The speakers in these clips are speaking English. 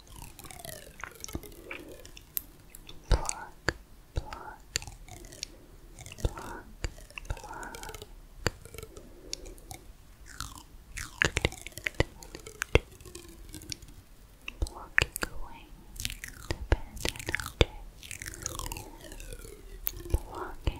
Pluck, pluck, pluck, pluck. Block going dependent object. Blocking away dependent object. Cleaning,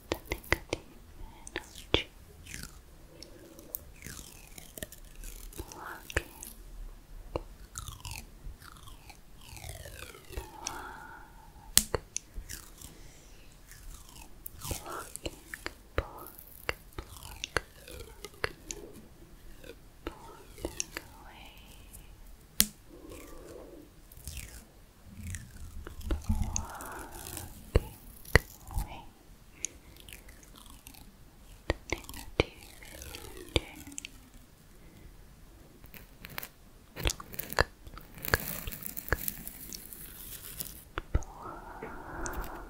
the negative energy blocking block blocking block block blocking away Blocking wink, wink. Negative. Look, look, look. Pluck. Pluck. Pluck. Pluck.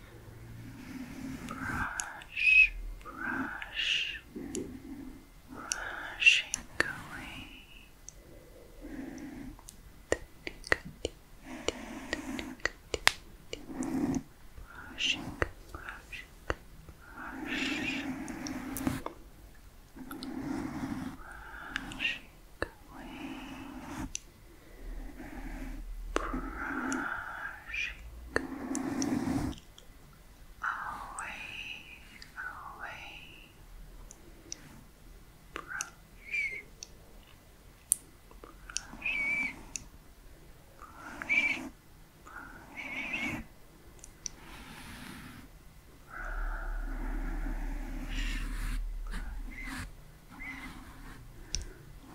brush, brush, brushing away. Brushing, brushing, brushing, brushing away brushing away, away, brush, brush, brush, brush.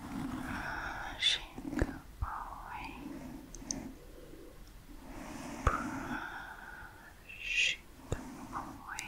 Brushing away, brushing away.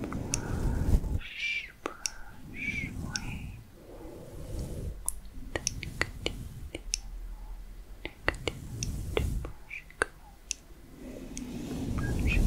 Brush, brush away. Then continue, continue to brush it Brush it away.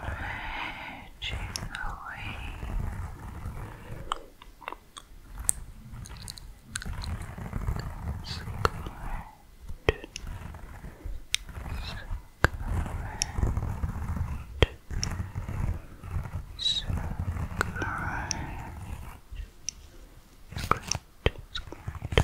Edging away. Squirt. Squirt. Squirt. Squirt. Squirt.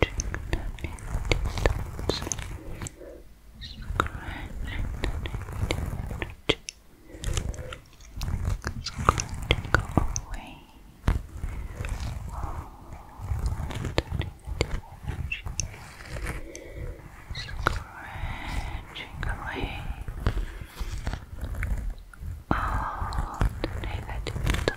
Touching the empty dots, the empty energy, scratching away all the negative energy, scratching away all the negative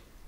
Clean.